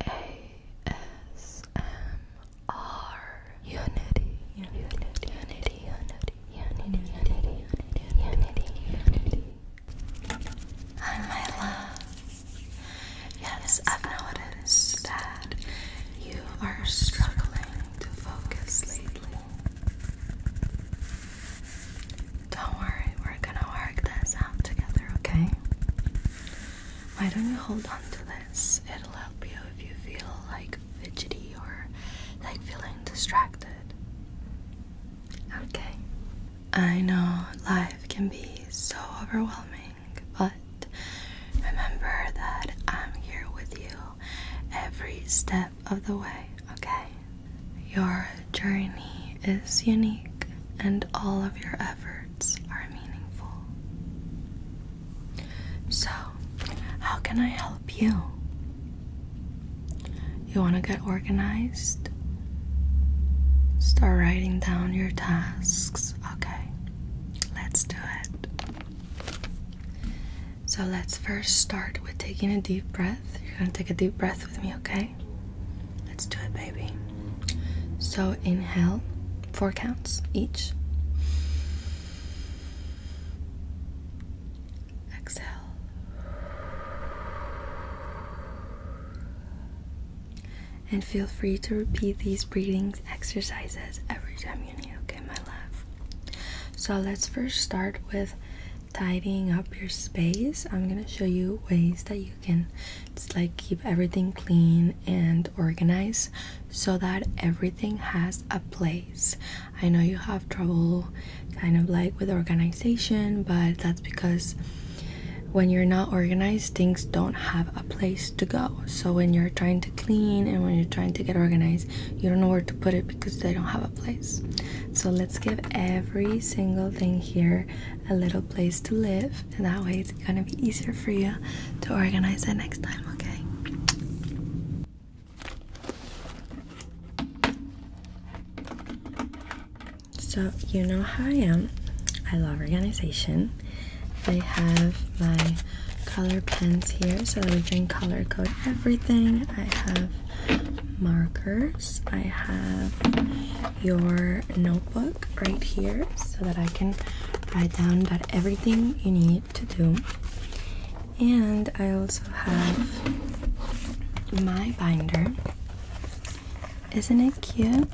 ASMR Unity Unity Unity Unity Unity Unity Unity Hi my love Yes I've noticed that you are struggling to focus lately Don't worry we're gonna work this out together okay why don't you hold on to this? It'll help you if you feel like fidgety or like feeling distracted. Okay. I know life can be so overwhelming, but remember that I'm here with you every step of the way, okay? Your journey is unique, and all of your efforts are meaningful. So, how can I help you? You want to get organized? Start writing down your tasks. Okay, let's do it. So, let's first start with taking a deep breath. You're going to take a deep breath with me, okay? Let's do it, baby. So inhale, four counts each. Exhale. And feel free to repeat these breathing exercises every time you need, okay, my love? So let's first start with tidying up your space. I'm gonna show you ways that you can just like keep everything clean and organized so that everything has a place. I know you have trouble kind of like with organization, but that's because when you're not organized, things don't have a place to go. So when you're trying to clean and when you're trying to get organized, you don't know where to put it because they don't have a place. So let's give every single thing here a little place to live and that way it's gonna be easier for you to organize it next time, okay? So, you know how I am. I love organization. I have my color pens here so that we can color code everything. I have markers. I have your no Book right here so that I can write down that everything you need to do. And I also have my binder. Isn't it cute?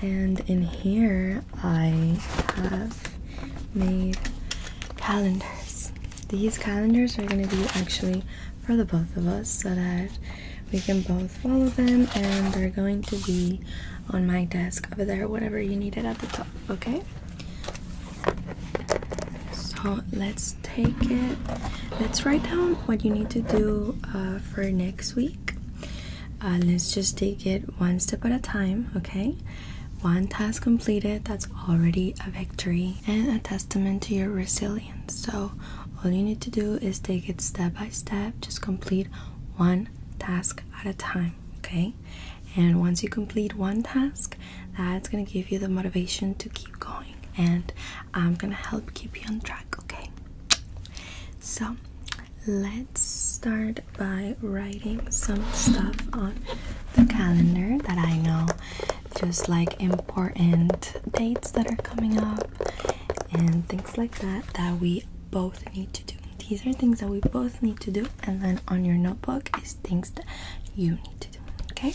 And in here I have made calendars. These calendars are going to be actually for the both of us so that we can both follow them and they're going to be on my desk over there whatever you need it at the top okay so let's take it let's write down what you need to do uh, for next week uh, let's just take it one step at a time okay one task completed that's already a victory and a testament to your resilience so all you need to do is take it step by step, just complete one task at a time, okay? And once you complete one task, that's gonna give you the motivation to keep going, and I'm gonna help keep you on track, okay? So let's start by writing some stuff on the calendar that I know, just like important dates that are coming up and things like that that we both need to do. These are things that we both need to do, and then on your notebook is things that you need to do. Okay.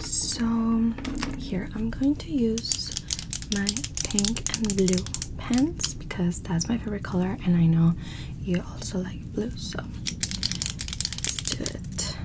So, here I'm going to use my pink and blue pens because that's my favorite color, and I know you also like blue, so let's do it.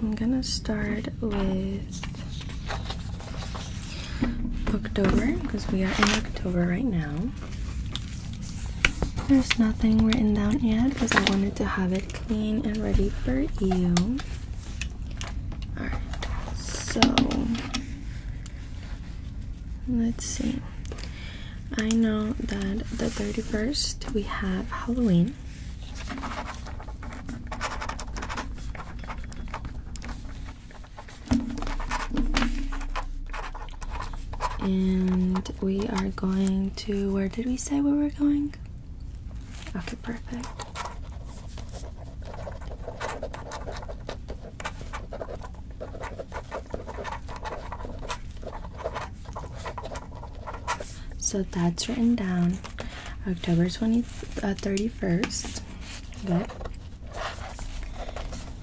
I'm gonna start with October because we are in October right now. There's nothing written down yet because I wanted to have it clean and ready for you. Alright, so let's see. I know that the 31st we have Halloween and we are going to where did we say we were going? Okay, perfect. So that's written down October 20th, uh, 31st.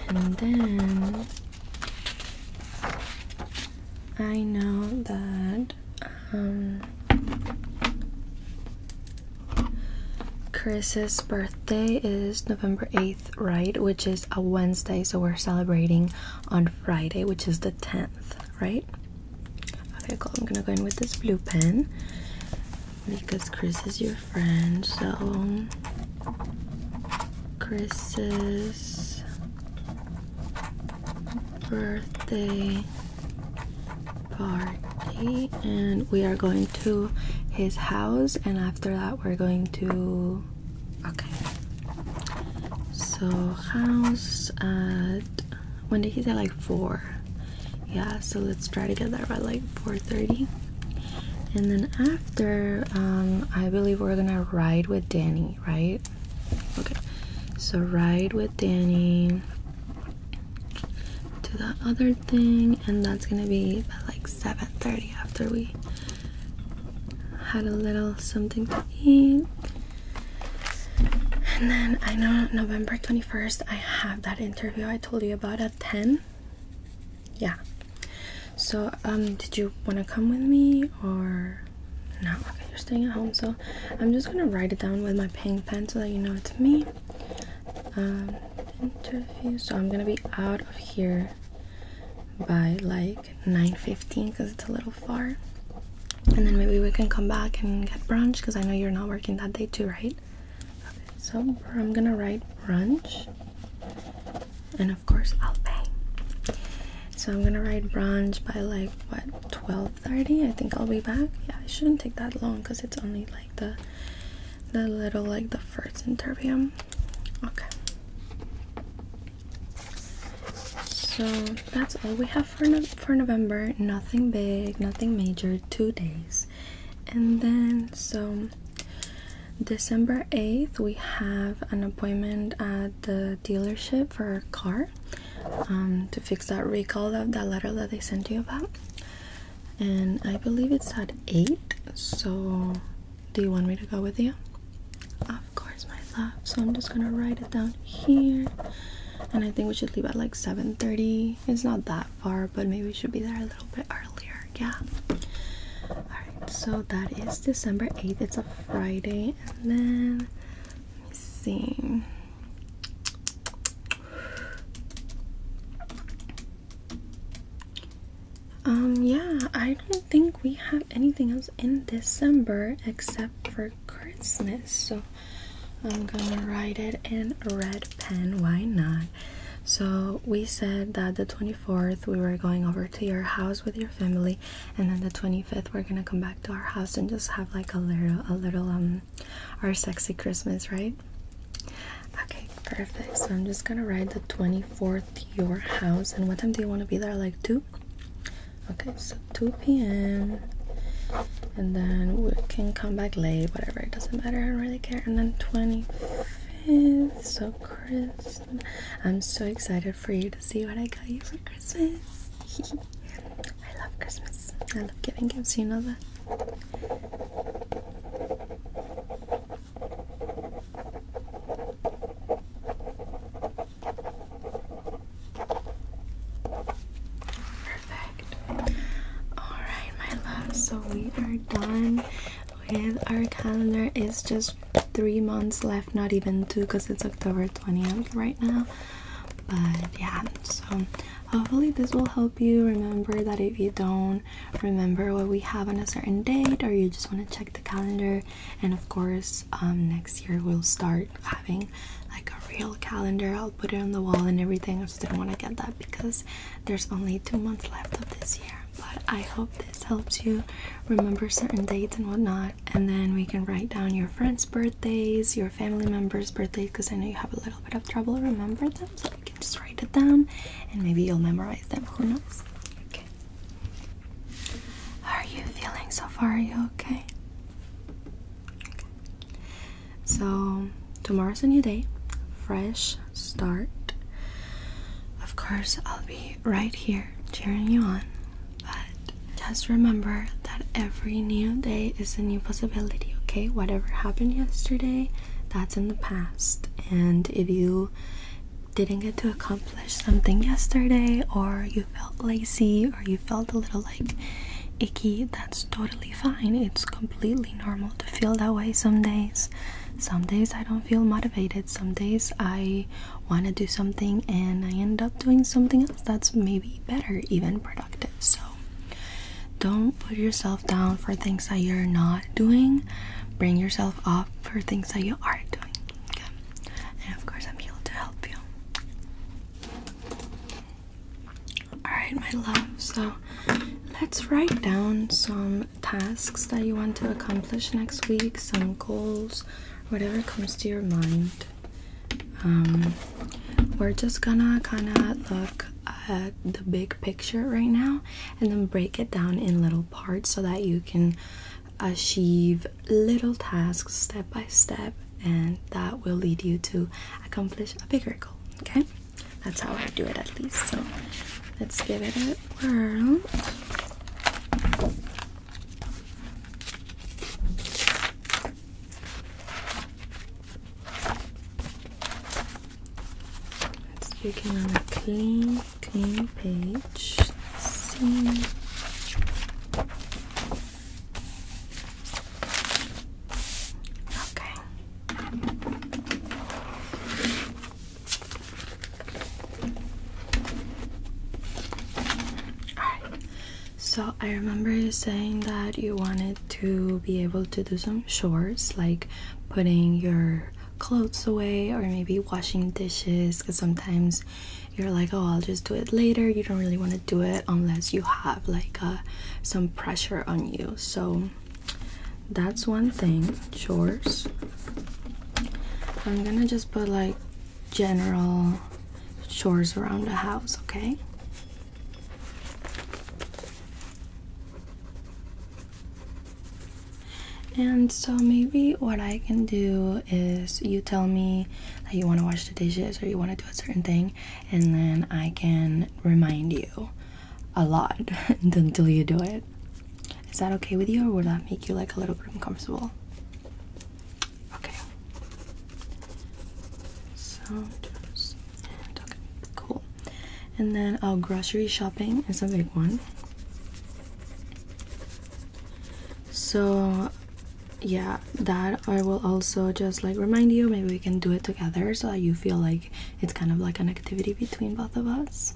And then I know that um, Chris's birthday is November 8th, right? Which is a Wednesday, so we're celebrating on Friday, which is the 10th, right? Okay, cool. I'm gonna go in with this blue pen because Chris is your friend, so Chris's birthday party and we are going to his house and after that we're going to okay so house at when did he say like four yeah so let's try to get there by like four thirty. and then after after um, I believe we're gonna ride with Danny, right? Okay, so ride with Danny to that other thing, and that's gonna be like 7:30 after we had a little something to eat. And then I know November 21st I have that interview I told you about at 10. Yeah. So, um, did you want to come with me or no? Okay, you're staying at home, so I'm just gonna write it down with my pink pen so that you know it's me. Um, interview. So I'm gonna be out of here by like 9:15 because it's a little far, and then maybe we can come back and get brunch because I know you're not working that day too, right? Okay, so I'm gonna write brunch and of course I'll pay. So I'm gonna ride bronze by like what 12:30. I think I'll be back. Yeah, it shouldn't take that long because it's only like the the little like the first interium. Okay. So that's all we have for for November. Nothing big, nothing major. Two days, and then so December 8th, we have an appointment at the dealership for a car um, to fix that recall of that letter that they sent you about. And I believe it's at 8, so do you want me to go with you? Of course, my love. So I'm just gonna write it down here. And I think we should leave at like 7:30. It's not that far, but maybe we should be there a little bit earlier. Yeah so that is December 8th. It's a Friday. And then, let me see. Um, yeah, I don't think we have anything else in December except for Christmas. So I'm gonna write it in red pen. Why not? So we said that the 24th we were going over to your house with your family and then the 25th we're gonna come back to our house and just have like a little a little um our sexy christmas right okay perfect so i'm just gonna ride the 24th to your house and what time do you want to be there like 2 okay so 2 p.m and then we can come back late whatever it doesn't matter i don't really care and then 25th so Chris, i'm so excited for you to see what I got you for Christmas. I love Christmas. I love giving gifts, you know that. Perfect. Alright, my love, so we are done plan. Our calendar is just three months left, not even two, because it's October 20th right now. But yeah, so hopefully this will help you remember that if you don't remember what we have on a certain date or you just want to check the calendar and of course um, next year we'll start having like a real calendar i'll put it on the wall and everything i just didn't want to get that because there's only two months left of this year but I hope this helps you remember certain dates and whatnot. And then we can write down your friends' birthdays, your family members' birthdays, because I know you have a little bit of trouble remember them. So you can just write it down, and maybe you'll memorize them. Who knows? Okay. How are you feeling so far? Are you okay? Okay. So tomorrow's a new day, fresh start. Of course, I'll be right here cheering you on. But just remember that every new day is a new possibility, okay? Whatever happened yesterday, that's in the past. And if you didn't get to accomplish something yesterday, or you felt lazy, or you felt a little like icky, that's totally fine. It's completely normal to feel that way some days. Some days I don't feel motivated, some days I want to do something and I end up doing something else that's maybe better, even productive. So don't put yourself down for things that you're not doing. Bring yourself up for things that you are doing. And of course, I'm here to help you. Alright, my love. So let's write down some tasks that you want to accomplish next week, some goals whatever comes to your mind. Um, we're just gonna kind of look at the big picture right now and then break it down in little parts so that you can achieve little tasks step by step and that will lead you to accomplish a bigger goal okay that's how i do it at least so let's give it a whirl Let's begin on a clean, clean page. Okay. Alright, so I remember you saying that you wanted to be able to do some chores like putting your clothes away or maybe washing dishes because sometimes you're like, oh, I'll just do it later. You don't really want to do it unless you have like uh, some pressure on you. So that's one thing, chores. I'm gonna just put like general chores around the house, okay? And so maybe what I can do is you tell me that you want to wash the dishes or you want to do a certain thing, and then I can remind you a lot until you do it. Is that okay with you, or would that make you like a little bit uncomfortable? Okay. So and cool. And then uh, grocery shopping is a big one. So yeah, that I will also just like remind you. Maybe we can do it together so that you feel like it's kind of like an activity between both of us.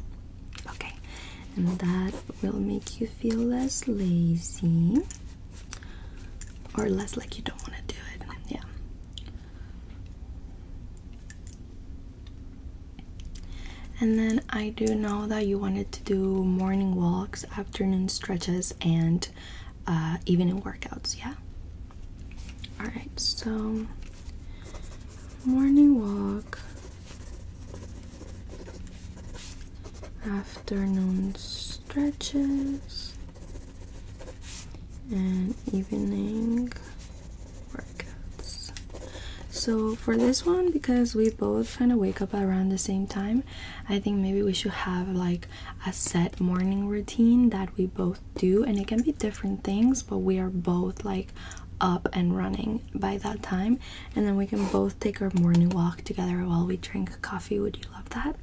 Okay, and that will make you feel less lazy or less like you don't want to do it. Yeah. And then I do know that you wanted to do morning walks, afternoon stretches, and uh, evening workouts, yeah? Alright, so morning walk, afternoon stretches and evening workouts so for this one because we both kind of wake up around the same time i think maybe we should have like a set morning routine that we both do and it can be different things but we are both like up and running by that time and then we can both take our morning walk together while we drink coffee. Would you love that?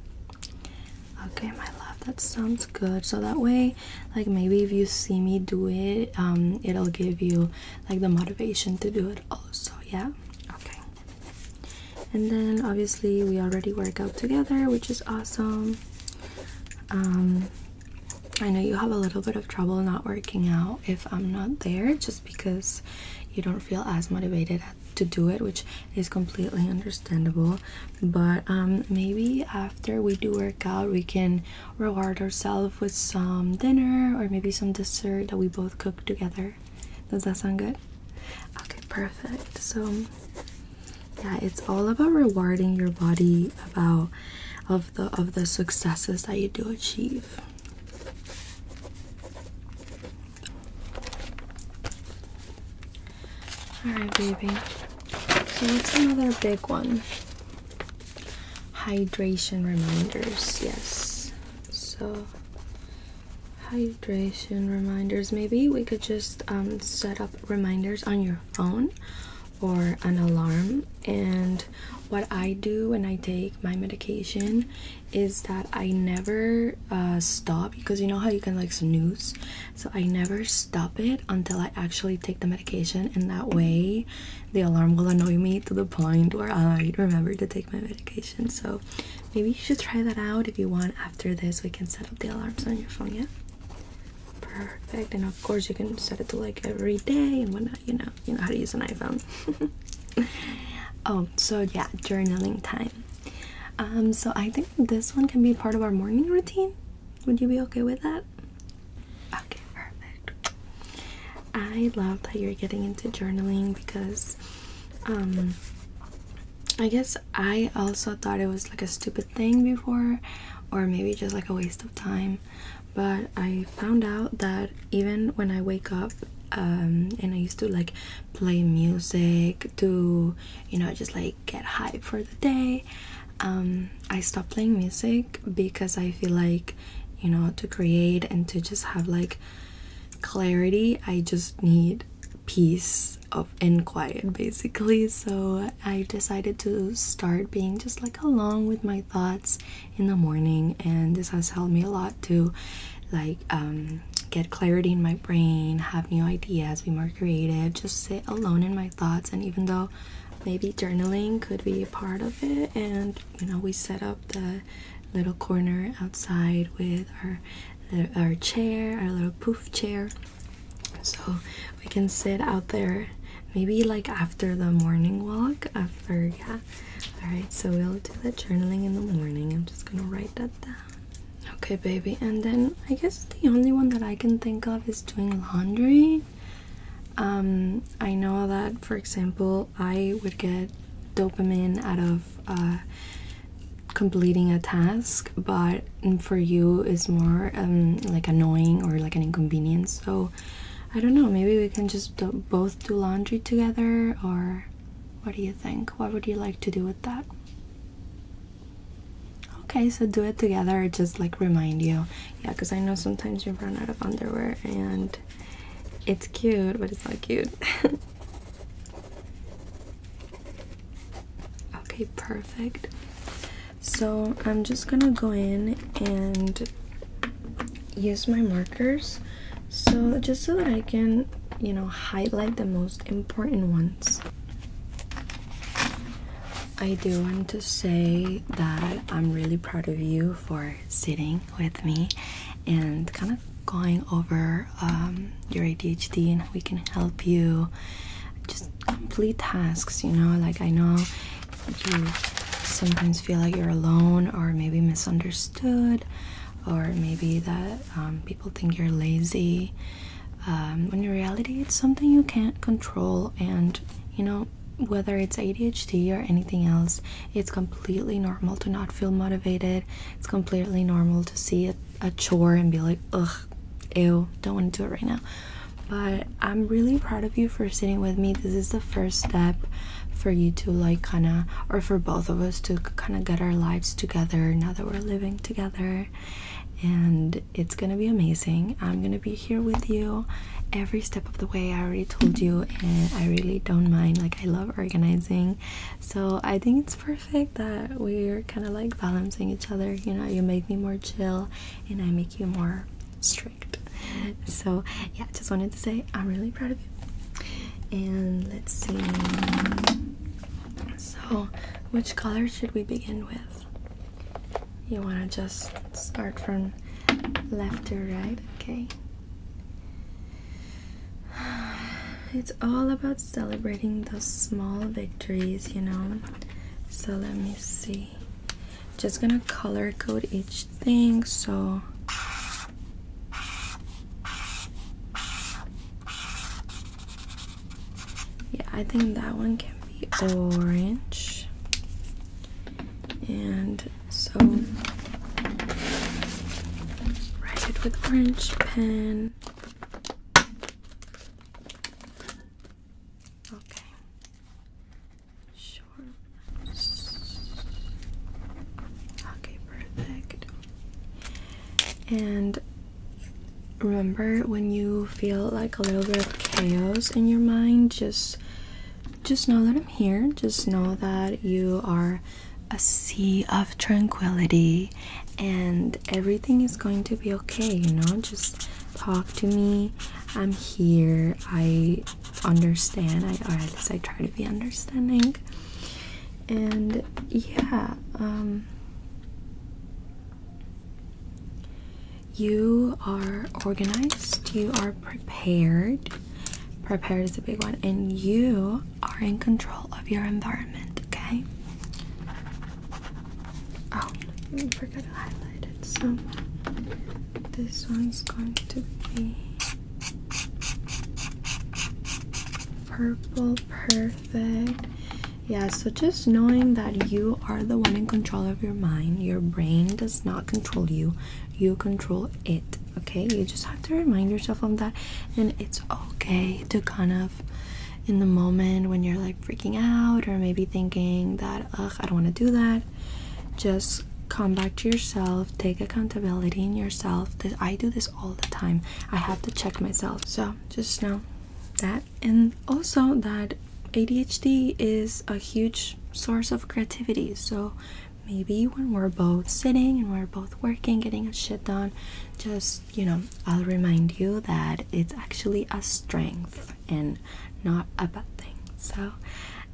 Okay, my love, that sounds good. So that way, like maybe if you see me do it, um, it'll give you like the motivation to do it also, yeah? Okay. And then obviously we already work out together, which is awesome. Um I know you have a little bit of trouble not working out if I'm not there. Just because you don't feel as motivated to do it, which is completely understandable. But um, maybe after we do work out, we can reward ourselves with some dinner or maybe some dessert that we both cook together. Does that sound good? Okay, perfect. So, yeah, it's all about rewarding your body about of the of the successes that you do achieve. Alright, baby. So, what's another big one? Hydration reminders, yes. So, hydration reminders. Maybe we could just um, set up reminders on your phone or an alarm. And what I do when I take my medication is that I never uh, stop because you know how you can like snooze, so I never stop it until I actually take the medication, and that way the alarm will annoy me to the point where I remember to take my medication. So maybe you should try that out if you want. After this, we can set up the alarms on your phone, yeah. Perfect, and of course you can set it to like every day and whatnot you know, you know how to use an iPhone. oh, so yeah, journaling time. Um, so I think this one can be part of our morning routine. Would you be okay with that? Okay, perfect. I love that you're getting into journaling because um I guess I also thought it was like a stupid thing before or maybe just like a waste of time but I found out that even when I wake up um, and I used to like play music to you know just like get hype for the day um, I stopped playing music because I feel like you know to create and to just have like clarity I just need peace of and quiet basically so I decided to start being just like alone with my thoughts in the morning and this has helped me a lot to like um, get clarity in my brain have new ideas be more creative just sit alone in my thoughts and even though maybe journaling could be a part of it and you know we set up the little corner outside with our our chair our little poof chair so we can sit out there maybe like after the morning walk after yeah Alright, so we'll do the journaling in the morning. I'm just gonna write that down. Okay, baby. And then I guess the only one that I can think of is doing laundry. Um, I know that, for example, I would get dopamine out of uh, completing a task, but for you, it's more um, like annoying or like an inconvenience. So I don't know, maybe we can just both do laundry together, or what do you think? What would you like to do with that? Okay, so do it together, just like remind you. Yeah, because I know sometimes you run out of underwear and it's cute, but it's not cute. okay, perfect. So I'm just gonna go in and use my markers so just so that I can you know highlight the most important ones I do want to say that I'm really proud of you for sitting with me and kind of going over um, your ADHD and we can help you just complete tasks you know like I know you sometimes feel like you're alone or maybe misunderstood or maybe that um, people think you're lazy um, when in reality it's something you can't control and you know whether it's ADHD or anything else it's completely normal to not feel motivated it's completely normal to see a, a chore and be like ugh ew don't want to do it right now but I'm really proud of you for sitting with me this is the first step for you to like kind of or for both of us to kind of get our lives together now that we're living together and it's gonna be amazing i'm gonna be here with you every step of the way i already told you and i really don't mind like i love organizing so i think it's perfect that we're kind of like balancing each other you know you make me more chill and i make you more strict mm-hmm. so yeah just wanted to say i'm really proud of and let's see. So, which color should we begin with? You want to just start from left to right, okay? It's all about celebrating those small victories, you know? So, let me see. Just gonna color code each thing, so yeah, I think that one can be orange. And so write it with orange pen. Okay. Sure. Okay, perfect. And remember when you feel like a little bit of chaos in your mind, just just know that I'm here. Just know that you are a sea of tranquility and everything is going to be okay, you know? Just talk to me. I'm here. I understand I or at least I try to be understanding and yeah um, you are organized you are prepared prepared is a big one and you are in control of your environment okay oh I forgot to highlight it so this one's going to be Purple, perfect. Yeah, so just knowing that you are the one in control of your mind, your brain does not control you, you control it. Okay, you just have to remind yourself of that, and it's okay to kind of in the moment when you're like freaking out or maybe thinking that, ugh, I don't want to do that. Just come back to yourself take accountability in yourself i do this all the time i have to check myself so just know that and also that adhd is a huge source of creativity so maybe when we're both sitting and we're both working getting a shit done just you know i'll remind you that it's actually a strength and not a bad thing so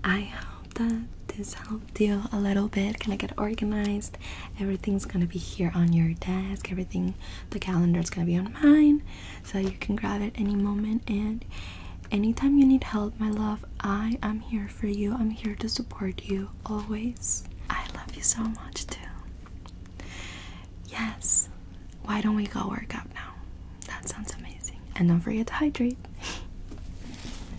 I hope that this helped you a little bit. Can I get organized. Everything's gonna be here on your desk. Everything, the calendar is gonna be on mine, so you can grab it any moment. And anytime you need help, my love, I am here for you. I'm here to support you always. I love you so much too. Yes. Why don't we go work out now? That sounds amazing. And don't forget to hydrate.